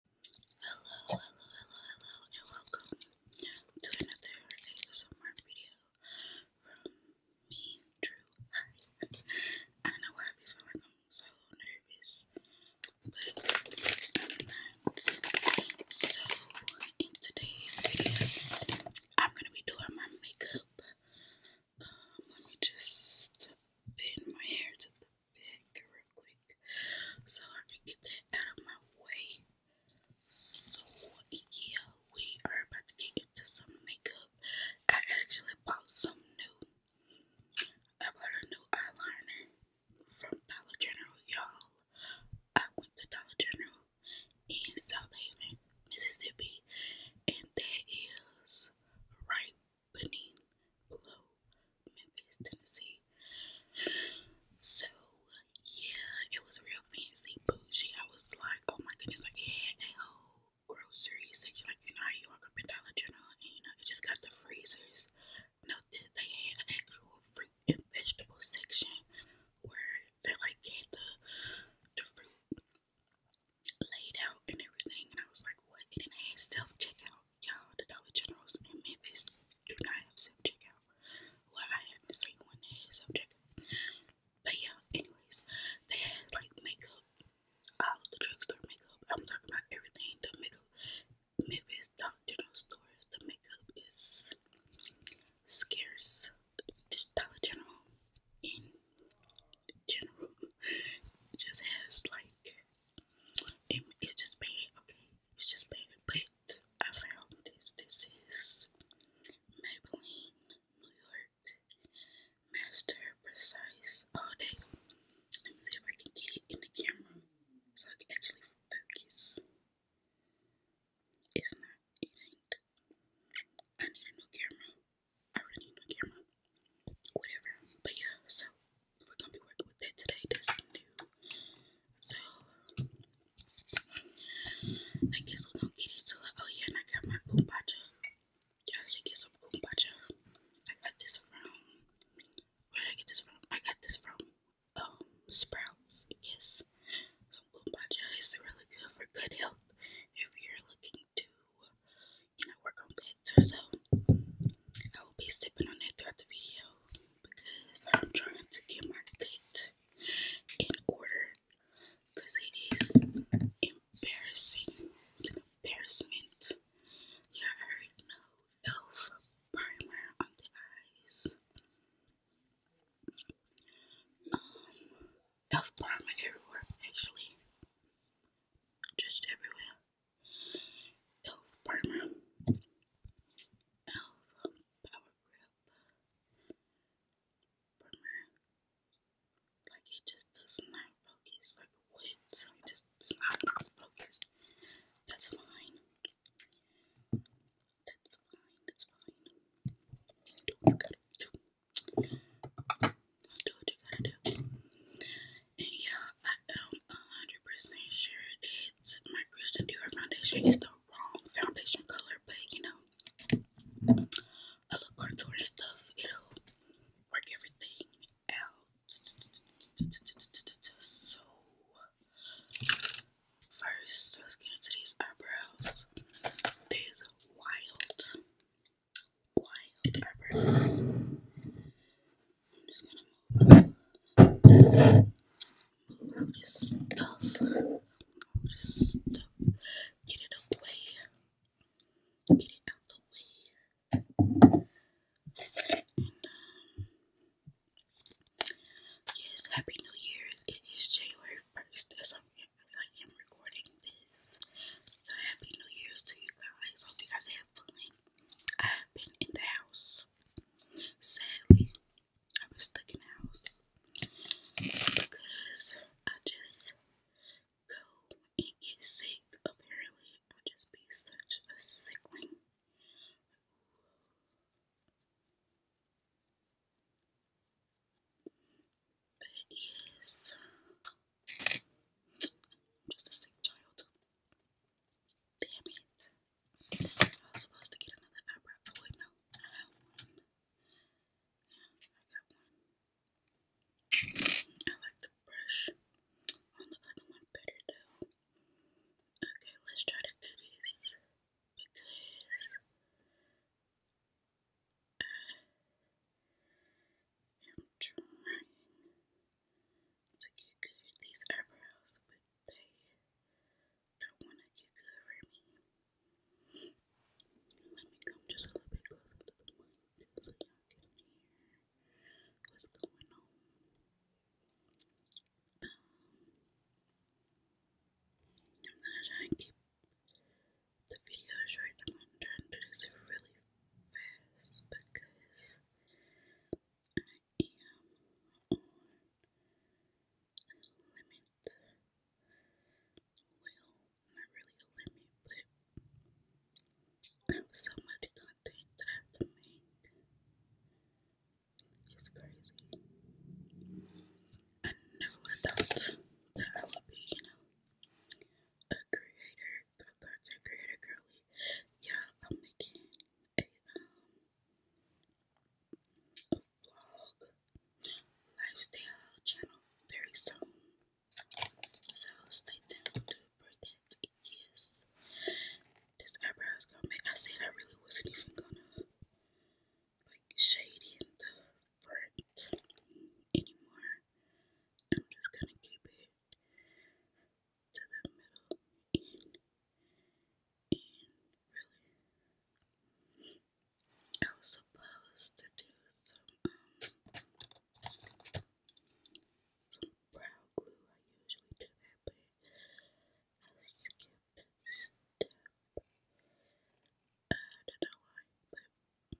Hello, hello, hello, hello, and welcome to another ASMR video from me, Drew. I know why I be feeling so nervous, but I'm So, in today's video, I'm gonna be doing my makeup. Um, let me just bend my hair to the real quick. So I can get that out of my way. So yeah, we are about to get into some makeup. I actually bought some new. I bought a new eyeliner from Dollar General, y'all. I went to Dollar General in South Haven, Mississippi, and that is right Benin below Memphis, Tennessee. So yeah, it was real fancy bougie. I was like, oh my goodness, like it had a whole grocery section. Like you know how you walk up in Dollar General and you know it just got the freezers. No, they had an actual fruit and vegetable section where they like had the the fruit laid out and everything. And I was like, what? And it had self checkout y'all, the Dollar Generals in Memphis do not have self checkout. Well, I haven't seen one that checkout. But yeah, anyways, they had like makeup, all the drugstore makeup. I'm talking about everything. The makeup, Memphis Dollar General stores, the makeup is scarce. Just Dollar General in general just has like. It, it's just bad, okay it's just painted, but I found this. This is Maybelline New York Master Precise All Day. Let me see if I can get it in the camera so I can actually focus. It's not, it I need a new camera. I really need a camera. Whatever. But yeah, so we're gonna be working with that today. That's So I guess we're gonna get into it. Oh yeah, and I got my kombucha. Y'all get some kombucha. I got this from where did I get this from? I got this from um, Sprouts. Yes. Some kombucha is really good for good health if you're looking to you know work on that. So I will be sipping on that throughout the video because I'm trying to get my cooked in order because it is embarrassing. It's an embarrassment. You I already know elf primer on the eyes. Um, elf primer everywhere, actually. Just everywhere. Elf Primer, Elf Power Grip Primer. Like it just does not focus, like wood, it just does not focus. That's fine. That's fine, that's fine. Do what you do. do and yeah, I am 100% sure it's my Christian Dior foundation. It's the wrong foundation color, but you know, I love contour stuff. It'll work everything out. So, first, let's get into these eyebrows. These wild, wild eyebrows. I'm just going get it away, get it out yes, Happy New Year. It is January 1st as, as I am recording this. So, Happy New Year's to you guys. Hope you guys have fun. I have been in the house. Sadly, I am stuck in house because I just go and get sick. Apparently, I just be such a sickling. But yes, just a sick child. Damn it. I was supposed to get another eyebrow toy. No, I have one. Yeah, I got one. I like the brush on the other one better though. Okay, let's try to do because uh, I am trying to get good these eyebrows, but they don't want to get good for me. Let me come just a little bit closer to the mic so y'all can hear what's going on. Um, I'm gonna try and keep the video short. I'm gonna try and do this really fast because am limit. Well, not really a limit, but I have so much content that I have to make. It's crazy. I never thought that I would be, you know, a creator, content creator, girly. Yeah, I'm making a um vlog lifestyle channel very soon. So stay tuned for that. Yes. This eyebrows gonna make I said I really wasn't even gonna like shade in the front anymore. I'm just gonna keep it to the middle in, really. I was supposed to do some, um, some brow glue. I usually do that, but I skipped that step. I don't know why, but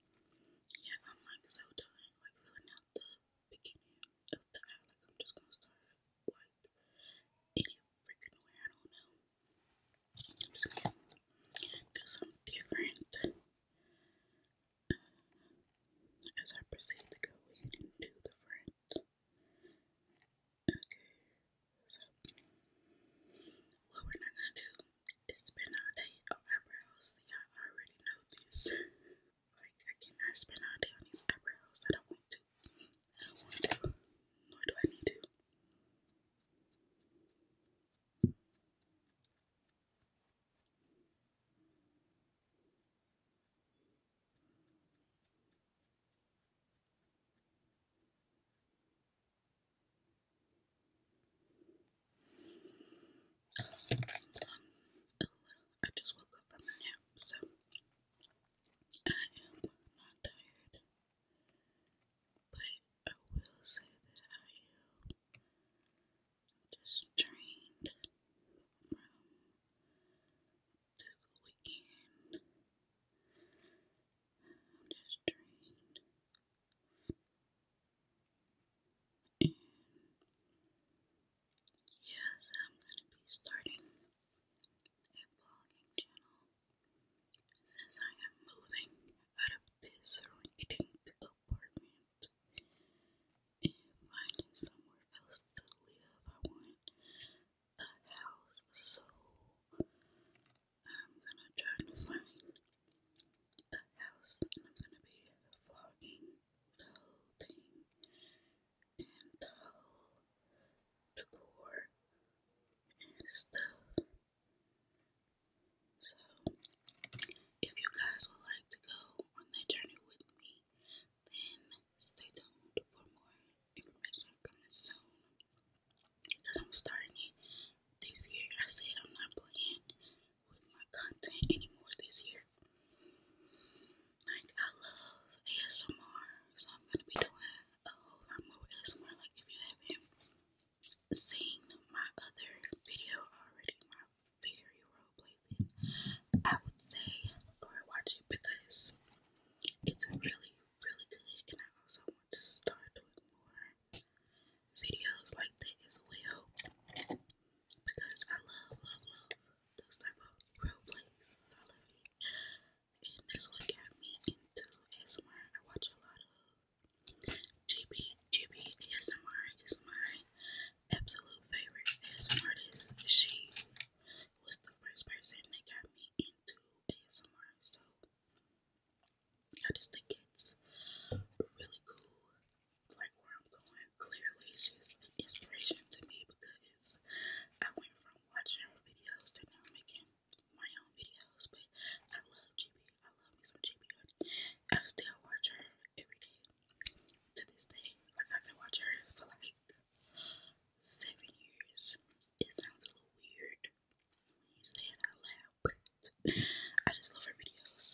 yeah, I'm like so done, like filling out the beginning of the hour. Like, I'm just gonna start, like, any freaking way. I don't know. I'm just gonna do something different as I proceed to go in the front. Okay, so what we're not gonna do is spend all day on oh, eyebrows. Y'all already know this. Like, I cannot spend all day on these eyebrows. I don't want to. I don't want to. Nor do I need to. Um, I just woke up from a nap, so am not tired, but I will say that I am just drained from this weekend. I'm just drained. Yes, I'm going to be starting a vlogging channel since I am moving out of this renting apartment and finding somewhere else to live. I want a house, so I'm going to try to find a house and I'm going to be vlogging the whole thing and the decor and stuff. So, if you guys would like to go on that journey with me, then stay tuned for more information coming soon. Because I'm starting it this year. I said I'm not playing with my content anymore this year. Like, I love ASMR, so I'm gonna be doing a whole lot more ASMR. Like, if you haven't seen my other video already, my figure roleplay, then I would say go and watch it because it's really, really good. And I also want to start doing more videos like that as because I love, love, love those type of role plays and that's what got me into ASMR. I watch a lot of GB, GB ASMR is my absolute favorite ASMR artist. She was the first person that got me into ASMR, so I just think it's really cool, like where I'm going. Clearly, she's an inspiration to me because I went from watching her videos to making my own videos, but I love GB. love me some GB still watch her every day to this day. Like I've been watching her for like seven years. It sounds a little weird when you say it out loud, but I just love her videos.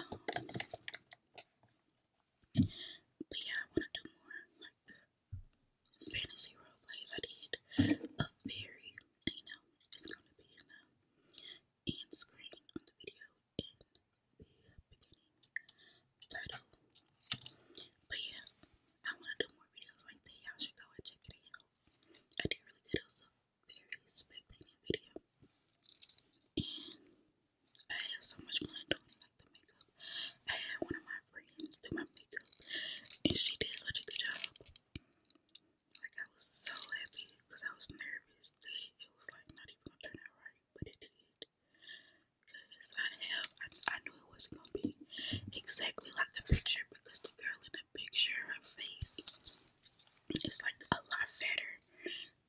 Um, but yeah, I want to do more like fantasy roleplay that I did of Barry, you know, it's gonna be in the end screen on the video in the beginning title. But yeah, I wanna do more videos like that. Y'all should go check it out. I did really good also. Very spit painting video. I had so much fun doing like the makeup. I had one of my friends do my makeup and she did such a good job. Like I was so happy because I was nervous that it was like not even gonna turn out right, but it did. Cause I have I, knew it was gonna be exactly like the picture because the girl in the picture, her face is like a lot fatter.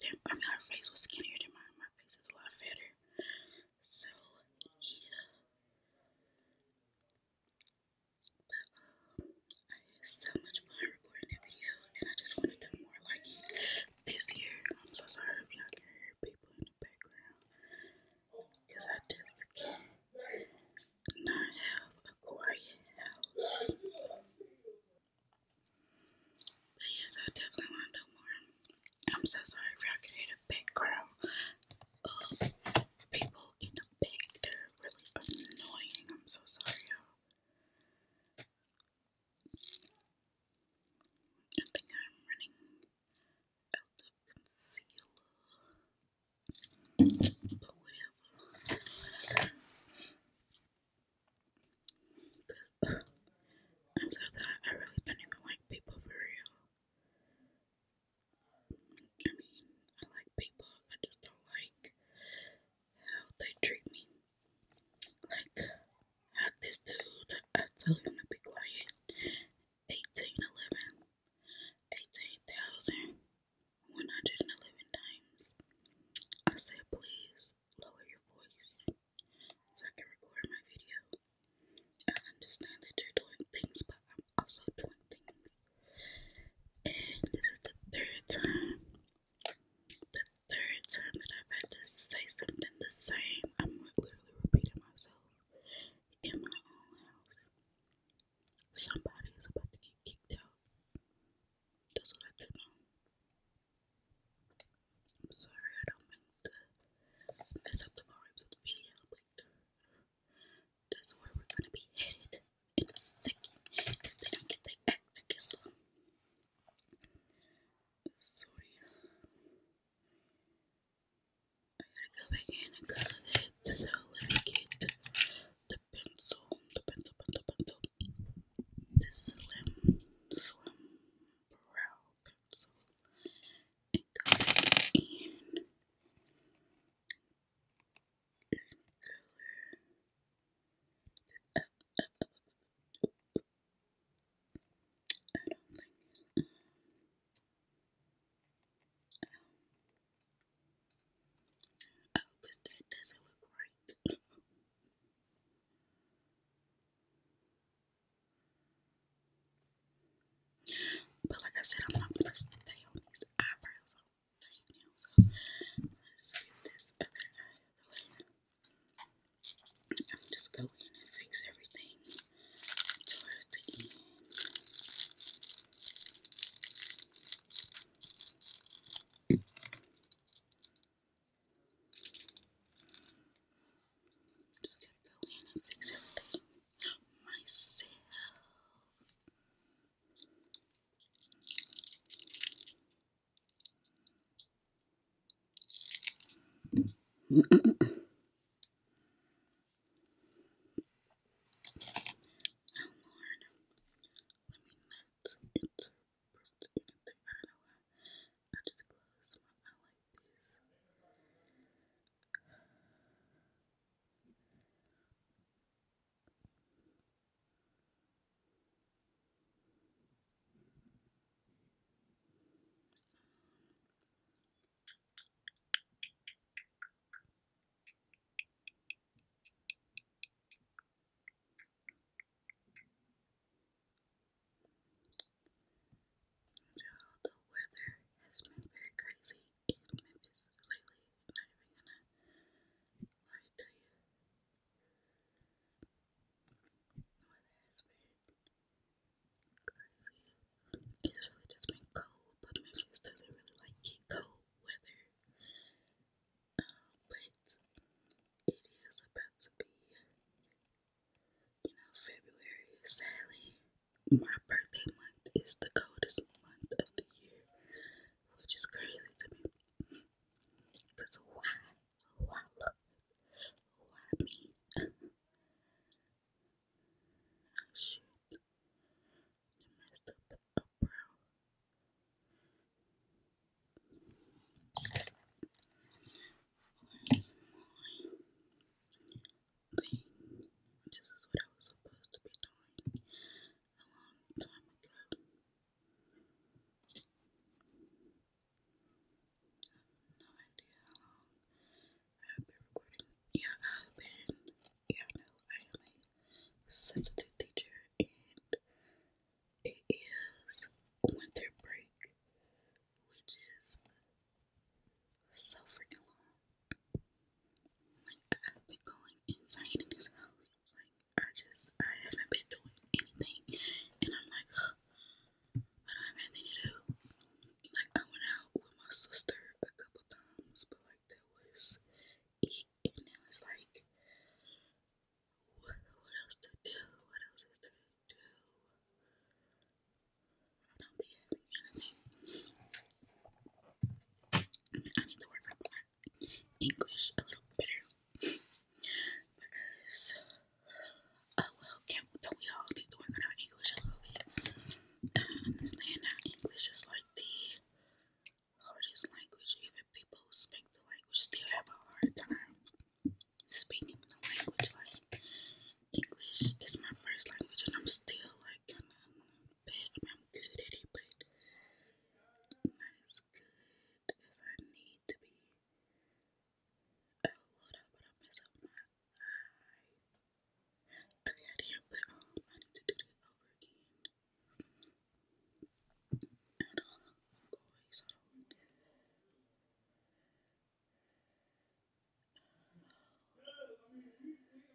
Than, I mean, her face was skinnier than mine. My face is a lot fatter, so, yeah. But, um, I had so much fun recording that video, and I just want to do more like it this year. I'm so sorry if y'all can hear people in the background, because I just can't have a quiet house yes, I definitely want to do more. I'm so sorry for I created a big crowd of people in the big. really annoying. I'm so sorry, you I think I'm running out of concealer. Times after that, I really don't even like people for real. I mean, I like people, I just don't like how they treat me. Like, I this dude, I told him to be quiet. 1811, times. I said, please lower your voice so I can record my video. I understand that you're doing things, but I'm also doing things. And this is the third time, the third time that I've had to say something the same. I'm literally repeating myself in my own house. Somebody is about to get kicked out. That's what I do know. I'm sorry, I don't mean and mess up the vibes of video. Like, that's where we're gonna be headed in a second if they don't get their act together. Sorry. I gotta go back in and get the pencil, the pencil, pencil, pencil. This slim, slim brow pencil and and color. I don't think it's that doesn't look right. But like I said, I'm not gonna stay on these eyebrows let's get this other eye I'll just go and fix everything towards the end just going to go in and fix everything myself. Oh Lord, let me not into anything. I just close my eye like this. Um, you the weather has been very crazy in Memphis lately. I'm not even gonna lie to you. The weather has been crazy. It's really just been cold, but Memphis doesn't really like cold weather. Um, but it is about to be you know, February, sadly, my birthday month is the coldest month of the year, which is crazy to me. Because why? Why look? Why me? Oh, shit. messed up the eyebrow thing. This is what I was supposed to be doing a long time ago. no idea how long I've been recording. Yeah, I've been, yeah, I I am a substitute teacher and it is winter break, which is so freaking long. Like, I've been going insane in house. Like, I just, I haven't been doing anything. And I'm like, I don't have anything to do. Like, I went out with my sister a couple times, but like, that was it. And it like, what, what else to do? What else to do? I need to work on my English a little better because, oh well, can't, we all need to on our English a little bit? Um, understand that English is like the hardest language, even people who speak the language still have a hard time speaking the language. English is my first language, and I'm still like kind of bad. I'm good at it, but not as good as I need to be. Oh Lord, I mess up my eye. Okay, I did, but I need to do this over again. And um, always on. He about to get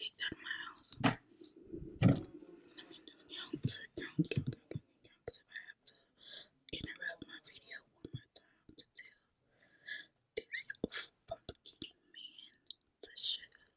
kicked out of my house. Let me just count, sit down, because if I have to interrupt my video one more time to tell this fucking man to shut up.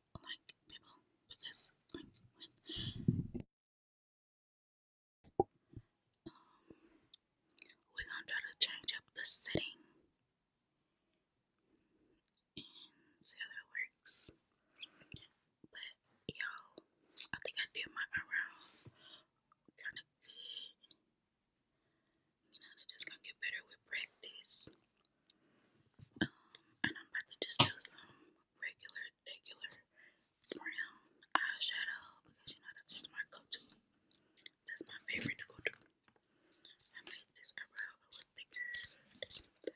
like people because like when um, we're gonna try to change up the setting and see how that works. But y'all, I think I did my eyebrows kind of good. You know, they're just gonna get better with practice. Um, and I'm about to just do some regular, regular brown eyeshadow because you know that's just my go-to. That's my favorite to go-to. I made this eyebrow a little thicker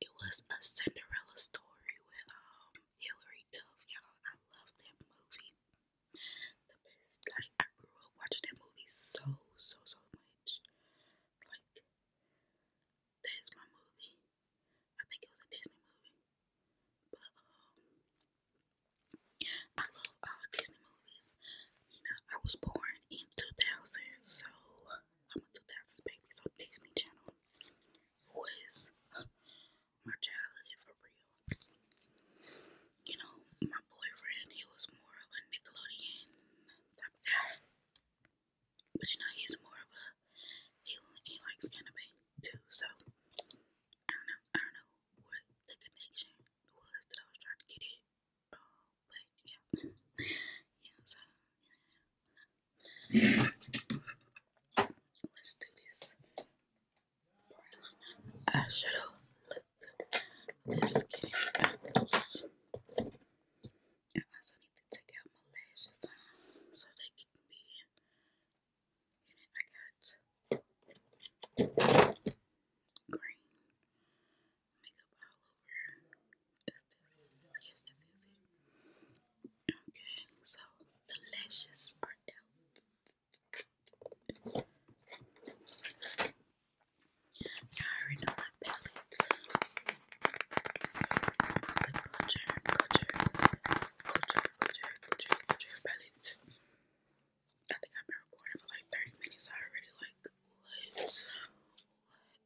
It was a Cinderella story with um Hillary Duff. Y'all, I love that movie. The best like I grew up watching that movie so so so much. Like that is my movie. I think it was a Disney movie. But um I love all Disney movies. You know, I was born in two thousand, so I'm a 2000s baby, so Disney Channel Who is my childhood for real. You know, my boyfriend, he was more of a Nickelodeon type guy. But you know, he's more of a, he, he likes anime too, so I don't know, I don't know what the connection was that I was trying to get it. Uh, but yeah, yeah, so Let's do this. Eyeshadow Let's get it I also need to take out my lashes uh, so they can be in I got green Okay, so the lashes are out. I already know my palette. The culture, culture, culture, culture, culture, palette. I think I've been recording for like 30 minutes. I already like, What?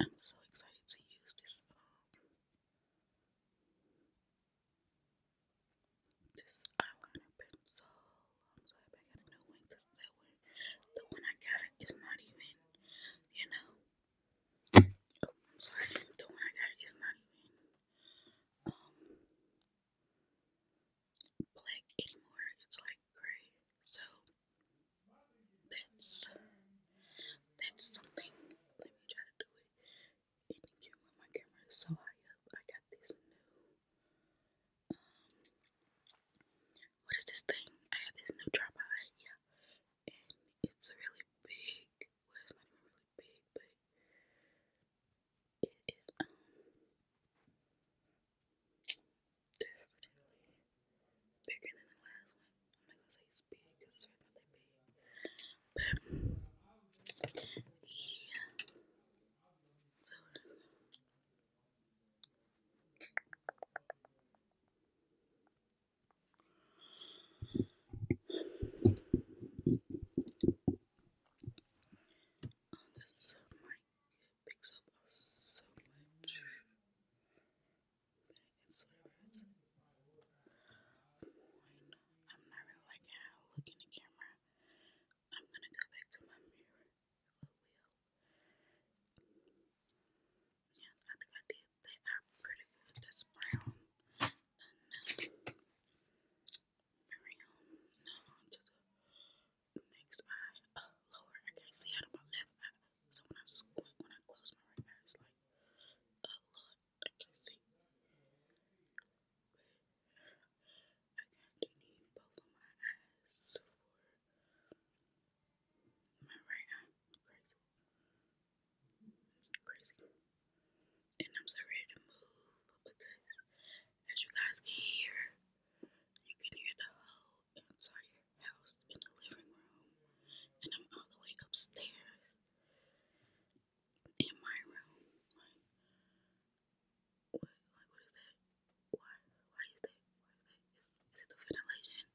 I'm so excited to use this um, this eyeliner pencil. I'm so a new one because that one, the one I got is not even, you know. Oh, I'm sorry, the one I got is not even um, black anymore, it's like gray. So that's that's something. Let me try to do it in the My camera is so high up. I got this new um what is this thing? I have this new tripod, yeah. And it's really big. Well it's not even really big, but it is um definitely bigger than the last one. I'm not gonna say it's big it's really big. But yeah. So on this mic picks up so much it's flavors. Mine, I'm not really like how I look in the camera. I'm gonna go back to my mirror. Yeah, I think I did. They are pretty good. That's brown. And uh, um, next eye uh, lower. I can't see out of my left eye. So when I squint, when I close my right eye, it's like uh, I can't see. I kind of need both of my eyes for my right eye. Crazy. Crazy. And I'm so to move because as you guys can hear, you can hear the whole entire house in the living room. And I'm all the way upstairs in my room. Like, what, like, what is that? Why, why is that? is, it the ventilation?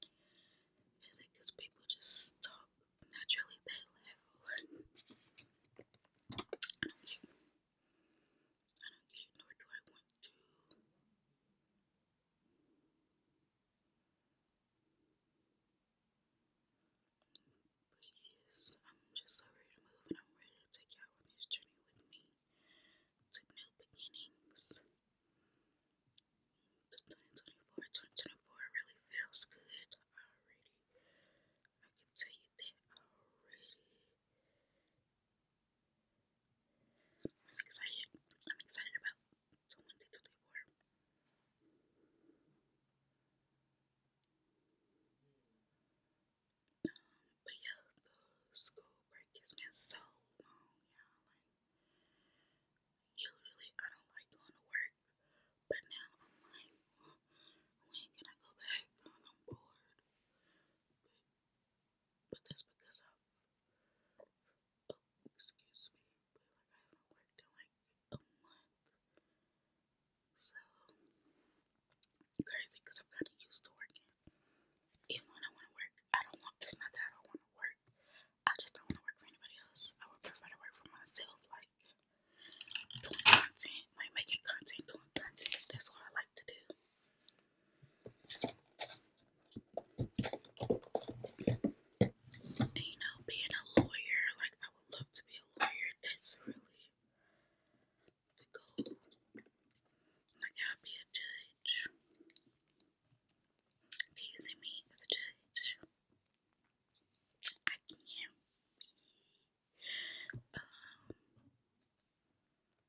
Is it because people just talk naturally that loud? I don't get it, nor do I want to. But yes, I'm just so ready to move and I'm ready to take y'all on this journey with me to new beginnings. 2024, 2024 really feels good already. I can tell you that already. I'm excited. I'm excited about so Wednesday till they were. but yeah, the school break has been so long, y'all. usually I don't like going to work, but now I'm like, when can I go back? I'm bored but that's because i oh, excuse me, like I haven't worked in like a month, so crazy because I'm kind of used to working. Even when I want to work, I don't want. It's not that I want to work. I just don't want to work for anybody else. I would prefer to work for myself, like doing content, like making content, doing content. That's what I like to do. And, you know, being a lawyer, like I would love to be a lawyer. That's really the goal. Like I'll be a judge. Can you see me as a judge? I can. Um,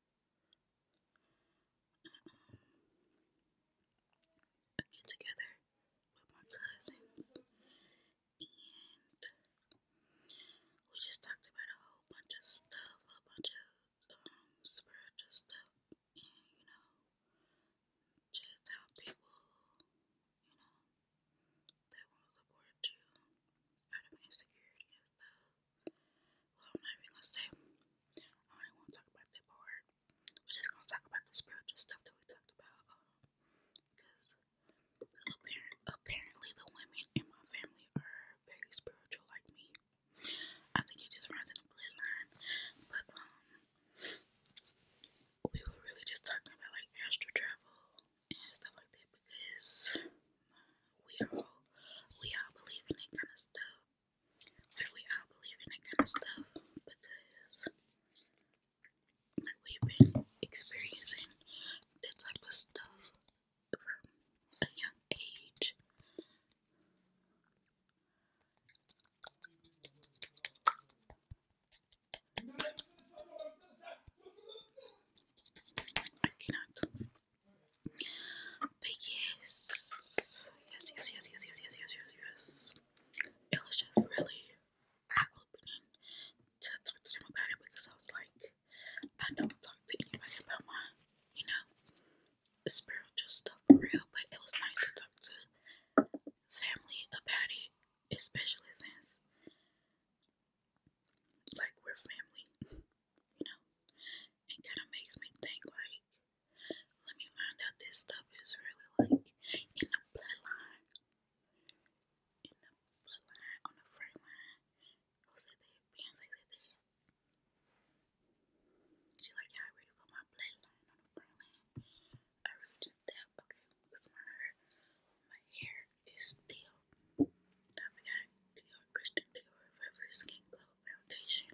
um, get together with my cousins, and we just talked about a whole bunch of stuff, a bunch of um, spiritual stuff, and you know, just how people, you know, they won't support you out of insecurity and stuff. Well, I'm not even gonna say. I do wanna talk about that part. We're just gonna talk about the spiritual stuff that we talked about. Because um, apparently the women in my family are very spiritual, like me. I think it just runs in the bloodline. But um, we were really just talking about like astral travel and stuff like that because we all we all believe in that kind of stuff. Obviously, I believe in that kind of stuff because we've been experiencing that type of stuff from a young age. I cannot but yes, yes, yes, yes, yes, yes, yes, yes, yes, yes. It was just really eye-opening to talk to them about it because I was like, I don't talk to anybody about my, you know, spiritual stuff for real. But it was nice to talk to family about it, especially since like we're family, you know. It kind of makes me think like, let me find out this stuff is really like in the bloodline, in the bloodline on the front line. Who said that? Beyonce said that. She like, yeah, I really put my bloodline on the front line. I really just that okay, because my my hair is still. I forgot Dior Christian Dior Forever Skin Glow Foundation.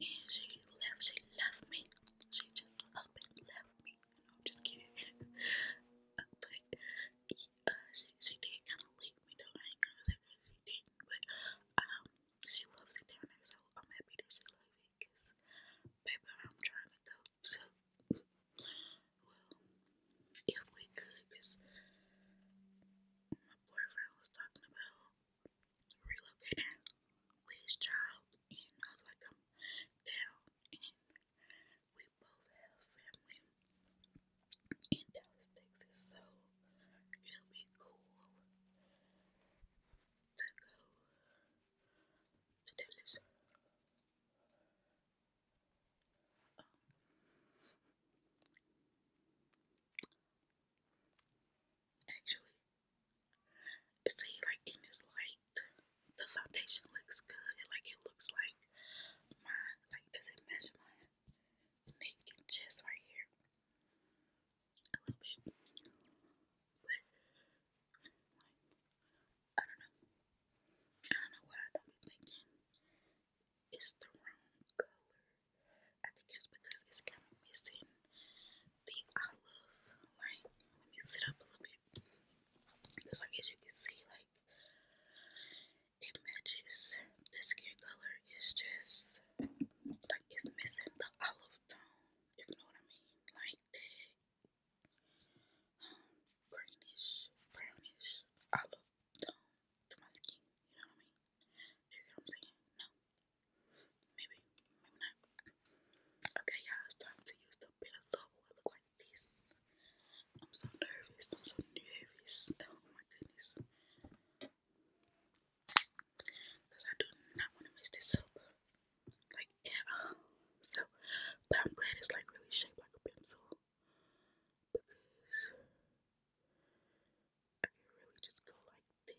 and she left, she left me, she just up and left me, you just kidding, but, uh, she, she did kind of leave me though, I ain't gonna say she did but, um, she loves it down so I'm happy that she loves it, cause, baby, I'm trying to go to, well, if we could, cause, my boyfriend was talking about relocating with his child, and I was like, i we both have family in Dallas, Texas, so it'll be cool to go to Dallas. Um, actually, See, like in this light, the foundation looks good. Like it looks like my like does it match my naked chest right here a little bit, but I don't know. I don't know what I do thinking. It's the wrong color. I think because it's kind of missing think I love, let me sit up a little bit. Because, like, as you can see, like, it matches. The skin color is just, like, it's missing the olive tone, if you know what I mean. Like, that um, brownish olive tone to my skin, you know what I mean? You get what I'm saying? No. Maybe, maybe not. Okay, y'all, it's time to use the bit of soap. I like this. I'm so nervous. I'm so nervous. Oh my goodness. Because I do not want to miss this soap. Like, yeah. So, but I'm glad it's like really shaped like a pencil. Because I can really just go like this.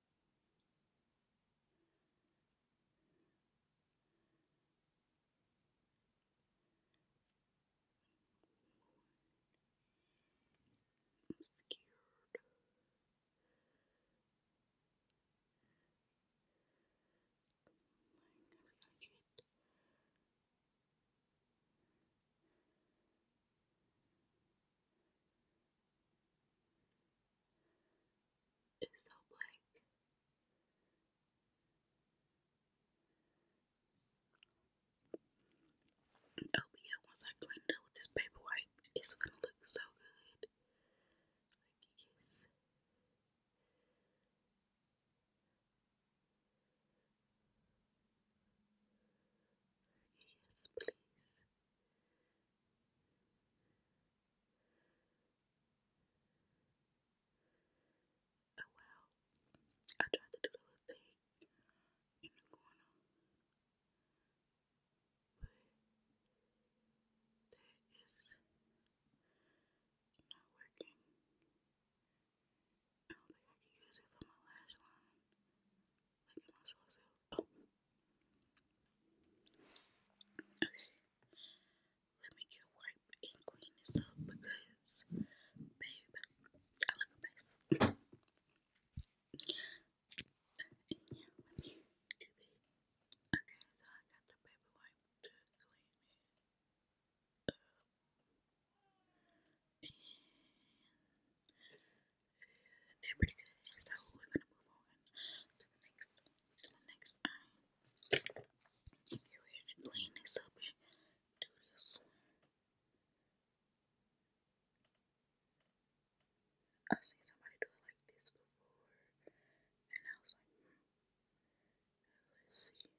I'm scared. I'm never gonna get it. It's so blank. Oh, but yeah, once I clean it with this paper wipe, it's gonna look so good. yes. Yes, please. Oh well, I tried to do the little thing in the corner, but that is not working. I don't think I can use it for my lash line. Look at myself. Oh. Okay, let me get a wipe and clean this up because, babe, I look a mess. Okay, so I got the baby wipe to clean it up. And pretty good, so we're gonna move on to the next next If you're ready to clean this up do this I've seen somebody do it like this before, and I was like, let's see.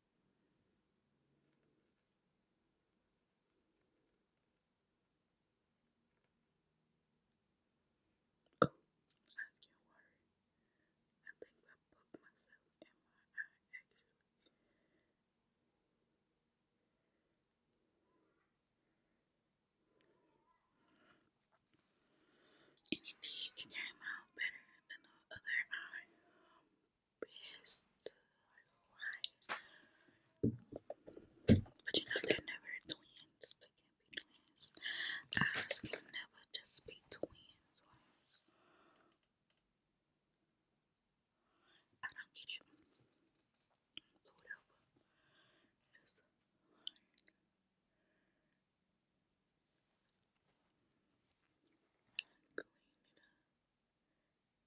Oh, I can't worry. I think I booked myself my eye, actually. And indeed, it came out better than the other eye best. But you know, they're never twins. They can't be twins. Eyes can never just be twins. I don't get it.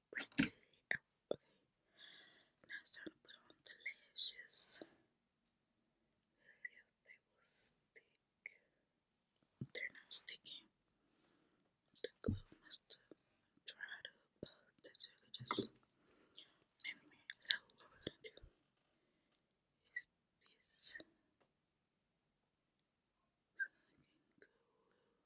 Okay. Now it's time to put on the lashes. Let's see if they will stick. They're not sticking. The glue must have dried up. Uh, that's really just. Anyway, so what we're gonna do is this.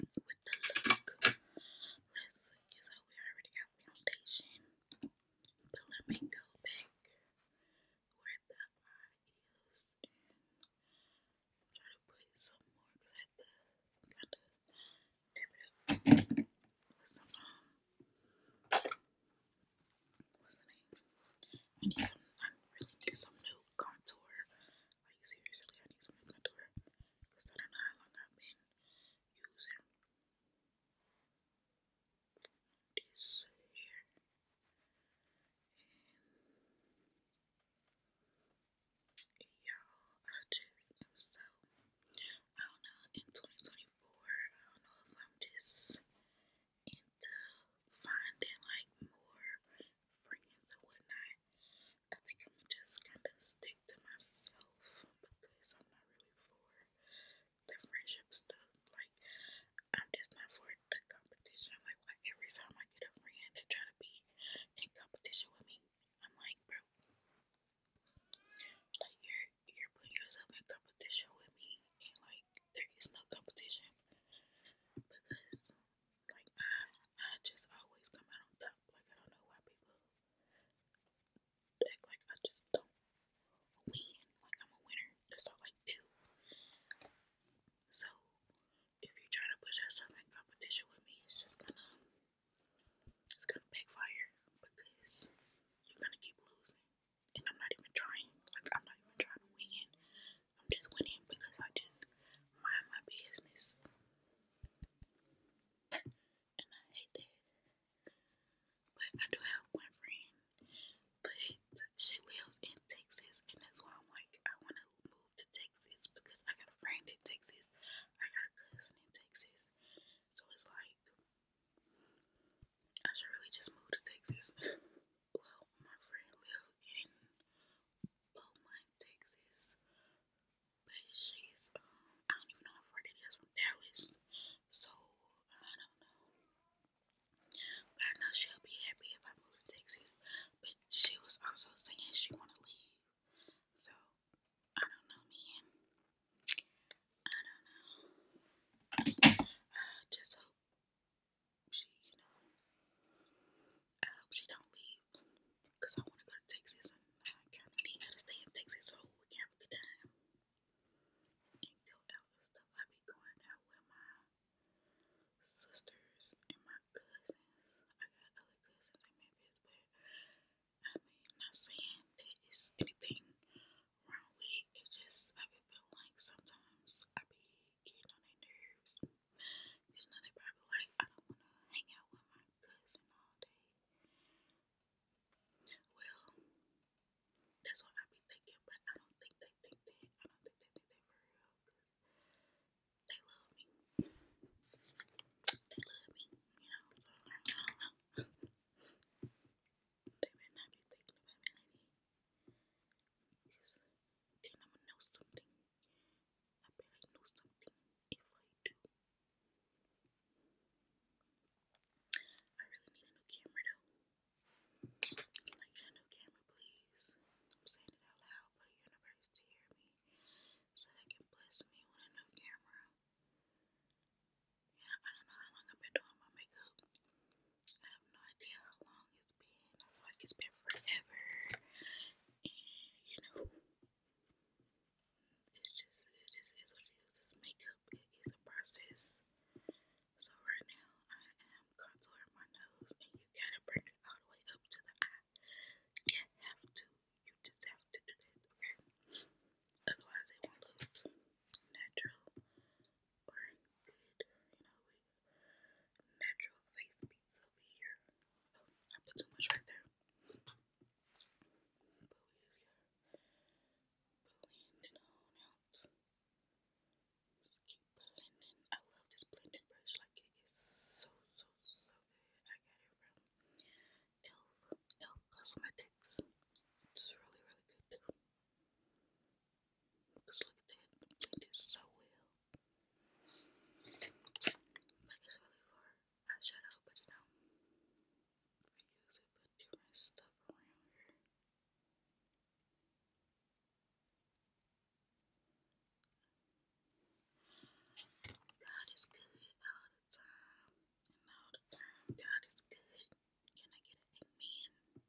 with the Let's look so we already got foundation. But let me go back where the eye try to put some more because I kind of what's the name? I need some I really need some new contour. Like seriously I need some new contour. Because I don't know how long I've been user this here y'all I just so I don't know in 2024 I don't know if I'm just into finding like more friends or whatnot I think I'm just kind of stick to myself because I'm not really for the friendship stuff. Like, I'm just not for the competition. I'm Like, why every time I get a friend that try to be in competition with me, I'm like, bro, like you're you're putting yourself in competition with me, and like there is no competition because like I I just always come out on top. Like I don't know why people act like I just don't win, like I'm a winner. That's all I do. So if you try to put yourself in competition with me, it's just gonna it's gonna backfire because you're gonna keep losing. And I'm not even trying. Like I'm not even trying to win. I'm just winning because I just mind my business and I hate that. But I do have one friend, but she lives in Texas, and that's why I'm like, I want to move to Texas because I got a friend in Texas, I got a cousin in Texas, so it's like I should really just move to Texas. well, my friend lives in Beaumont, Texas. But she's, um, I don't even know how far it is from Dallas. So, I don't know. But I know she'll be happy if I move to Texas. But she was also saying she want to leave. So, I don't know, man. I don't know. I just hope she, you know, I hope she don't leave. Because I want to go to Texas and I kind of need to stay in Texas so we can have a good time. And go out and stuff. I be going out with my sisters and my cousins. I got other cousins in Memphis, but I mean, not saying that it's anything wrong with it. It's just, I be like sometimes I be getting on their nerves. Because now they probably like, I don't want to hang out with my cousin all day. Well, that's what I be thinking, but I don't think they think that. I don't think they think that for real. They love me. They love me, you know. I don't know. they better not be thinking about me Because then i gonna know something. I bet know something if I do. I really need a new camera though. Can a new camera, please? I'm saying it out loud for the universe to hear me so they can bless me with a new camera. Yeah, I don't know how long I've been doing my makeup. I have no idea how long it's been. I feel like it's been forever. And you know, it's just it just is what it is. makeup it is a process. So right now I am contouring my nose and you gotta bring it all the way up to the eye. You have to. You just have to do that, okay? Otherwise it won't look natural or good, you know, natural face beats over here. Oh, I put too much right there billy I love this blending brush. Like it is so so so good. I got it from Elf Elf Cosmetics. It's really really good too. Cause look at so well. Like it's really for eyeshadow, but you know, I usually put different stuff around here. God is good all the time, all the time God is good. Can I get an amen?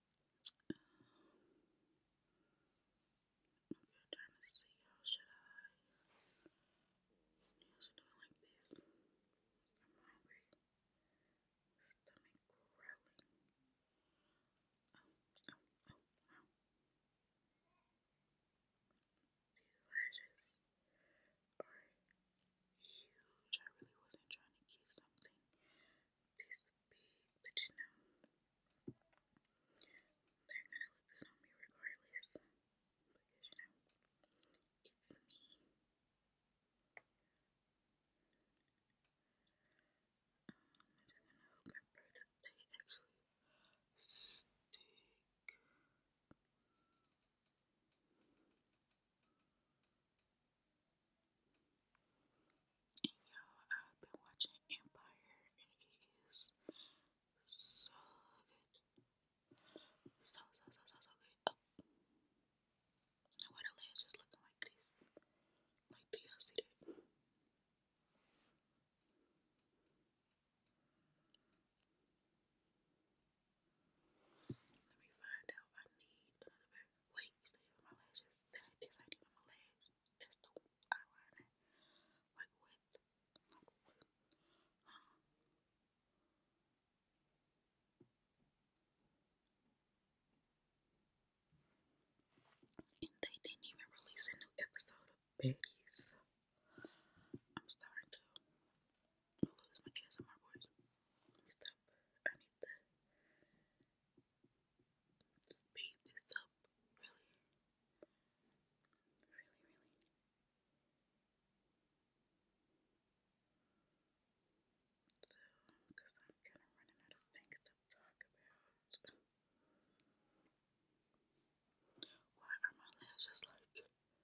Um, okay, trying to see how should I. How should I like this? I'm hungry. Stomach growling. These lashes are huge. I really wasn't trying to get something these big, but you know, they're gonna look good on me regardless. Because you know, it's me. I'm just gonna hope my they actually stick. And y'all, I've been watching Empire and it is so good. So, so, so, so, so good. Oh. And why the just looking like this? Like, do Let me find out. I need another pair wait, you still my lashes? Did I this ain't my lash. That's the eyeliner. Like what? Huh? And they didn't even release a new episode of Betty's. I'm starting to lose my ASMR voice. Let me stop. I need to speed this up really, really, really. So, I'm kind of running out of things to talk about. Why are my lashes like doing this?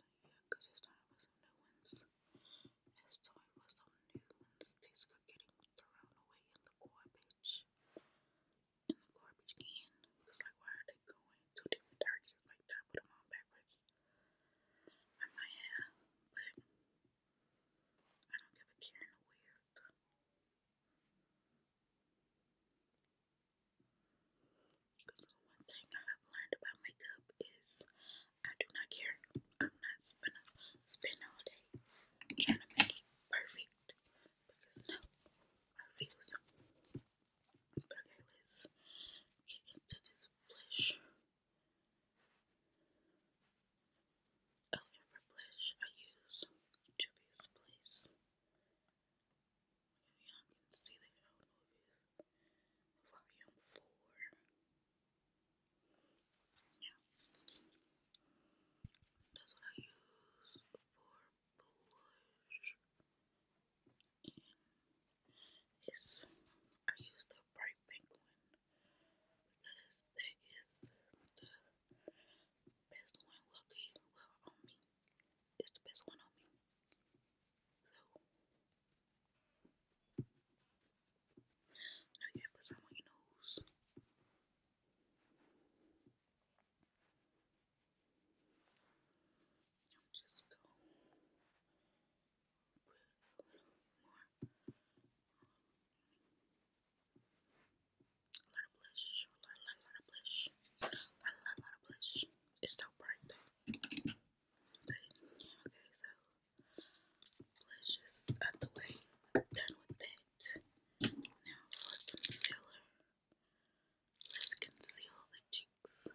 time I some new ones. As time was on nuance, these were getting thrown away in the garbage. In the garbage can. like, why are they going to different directions like that? Put them on backwards. I might have, but I don't give a care in a weird. one thing I've learned about makeup is I do not care. I'm not going all day trying to make it perfect because no, I refuse. But okay, let's get into this blush. Oh, every blush I use Juvia's Place. Maybe y'all can see the movie, Volume 4. Yeah. That's what I use for blush. And it's I use the bright pink because that is the best one looking on me. It's the best one on me. So I'll just go a little more a lot of blush, a lot, a lot, a lot of blush, a lot, a lot, of blush. It's so bright though. okay, so Let's just out the way. done with that. Now for concealer. Let's conceal the cheeks. I am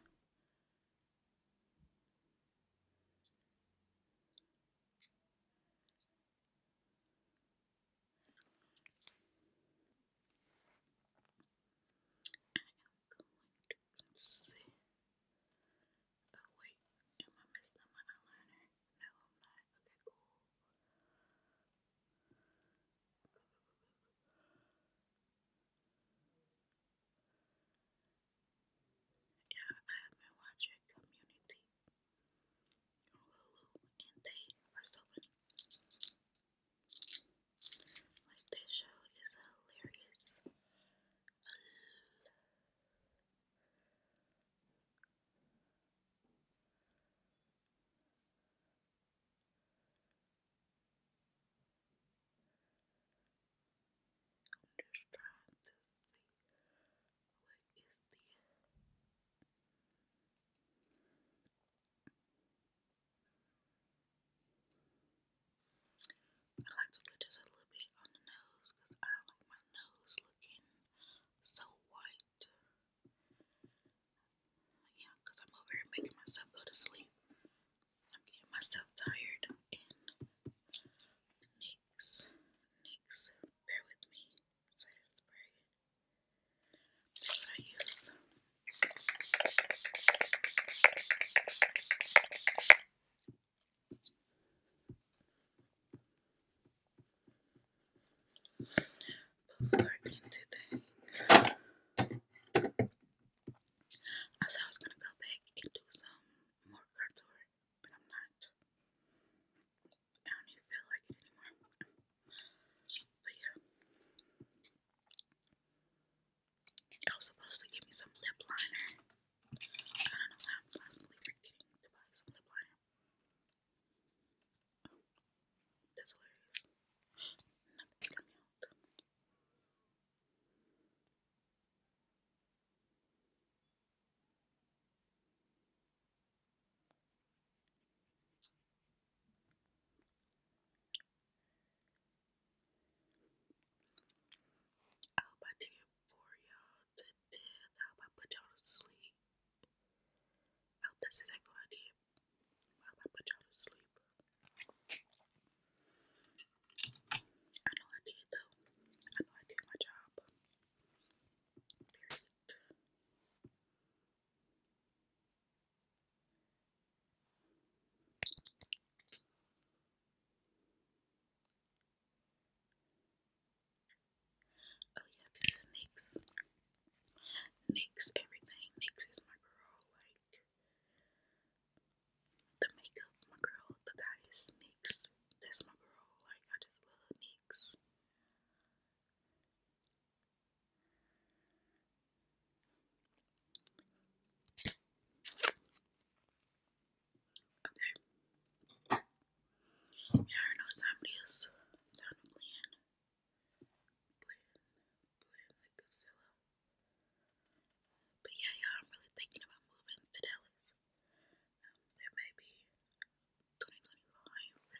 going to conceal Oh wait, am I messing up No, I'm not. Okay, cool. Yeah, I have been watching Community and they are so funny. Like, this show is hilarious. I'm just trying to see what is the I like to put just a little bit on the nose because I don't like my nose looking so white. Yeah, because I'm over here making myself go to sleep. I'm getting myself tired. And Nix, bear with me. spray what I use. Before anything, I said I was gonna go back and do some more contour, but I'm not. I don't even feel like it anymore. But yeah. I was supposed to give me some lip liner. I don't know why I'm constantly forgetting to buy some lip liner. that's hilarious. Nothing's coming out. I hope I did it for y'all said, Dad, how about put y'all to sleep? Oh, that's exactly what I did. How put y'all to sleep? I know I did, though. I know I did my job. Period. Oh yeah, this is Nyx. everything. Nyx is my girl, like the makeup, my girl, the goddess Nyx. That's my girl. Like I just love Nyx. Okay. Yeah, I don't know what time it is. plan. Plan. Plan like a But yeah, y'all, I'm really thinking about moving to Dallas. Um, that or something, I don't know.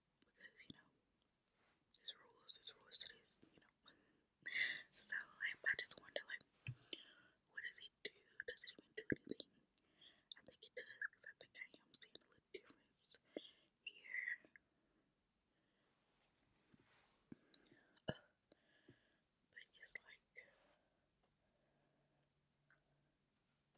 because you know there's rules, there's rules to this, you know. so like I just wonder like what does it do? Does it even do anything? I think it does because I think I am seeing a difference here. but it's like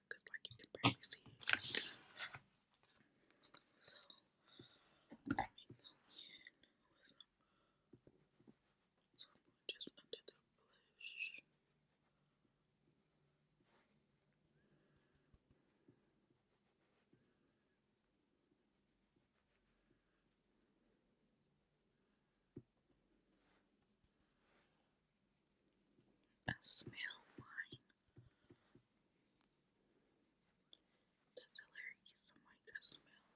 because like you can barely see it. So let me go in with some, some just under the blush. Okay, I smell wine. That's hilarious. I'm I smell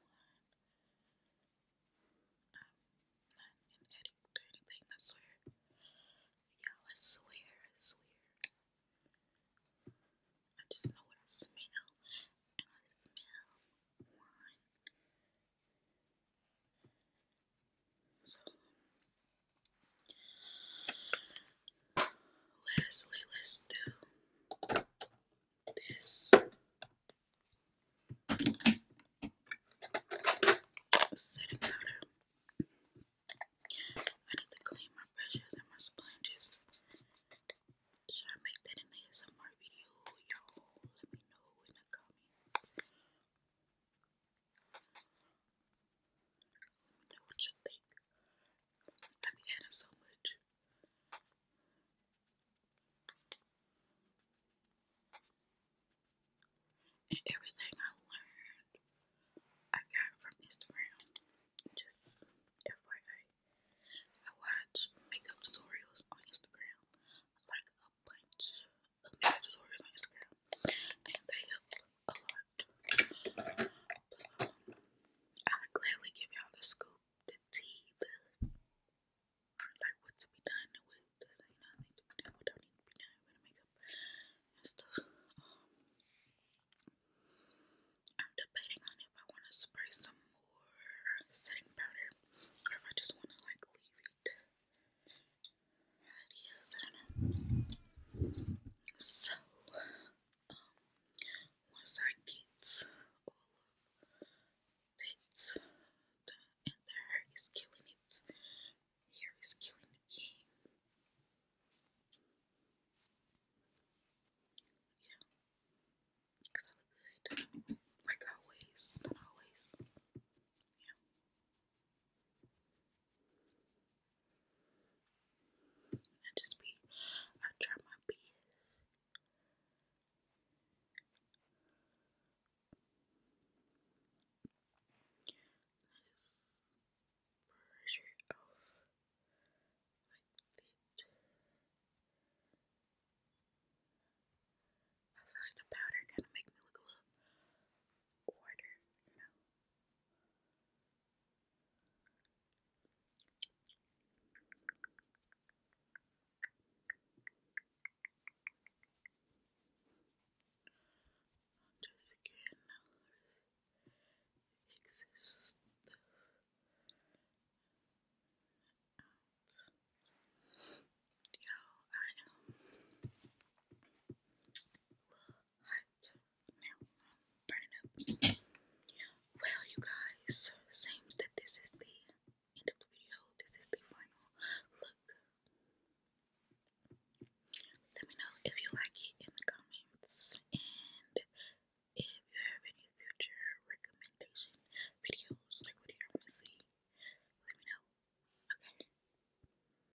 wine. I'm not an anything, I swear. you I swear, swear. I just know what I smell, and I smell wine. So, lastly, let's do this setting powder. I need to clean my brushes and my sponges. Should I make that in the ASMR video? Y'all let me know in the comments know you I be so much. And everything I learned, I got from Instagram. Just FYI, I watch makeup tutorials on Instagram. Like a bunch I gladly give y'all the scoop, the tea, the like what to be done with, the thing you to be done, with makeup I'm debating on if I want to spray some more setting powder or if I just want to like leave it ideas. I don't know. So, um, once I get all of that done, and the hair is killing it, hair is killing the game. Yeah, because I look good, like always, not always. Yeah. I just be, I try my best. Pressure off like this. powder kind of make me look a little whiter, you know. On your skin exists the out. Yo, I am. Look, well, you guys, seems that this is the end of the video. This is the final look. Let me know if you like it in the comments, and if you have any future recommendation videos, like what do you want to see? Let me know. Okay.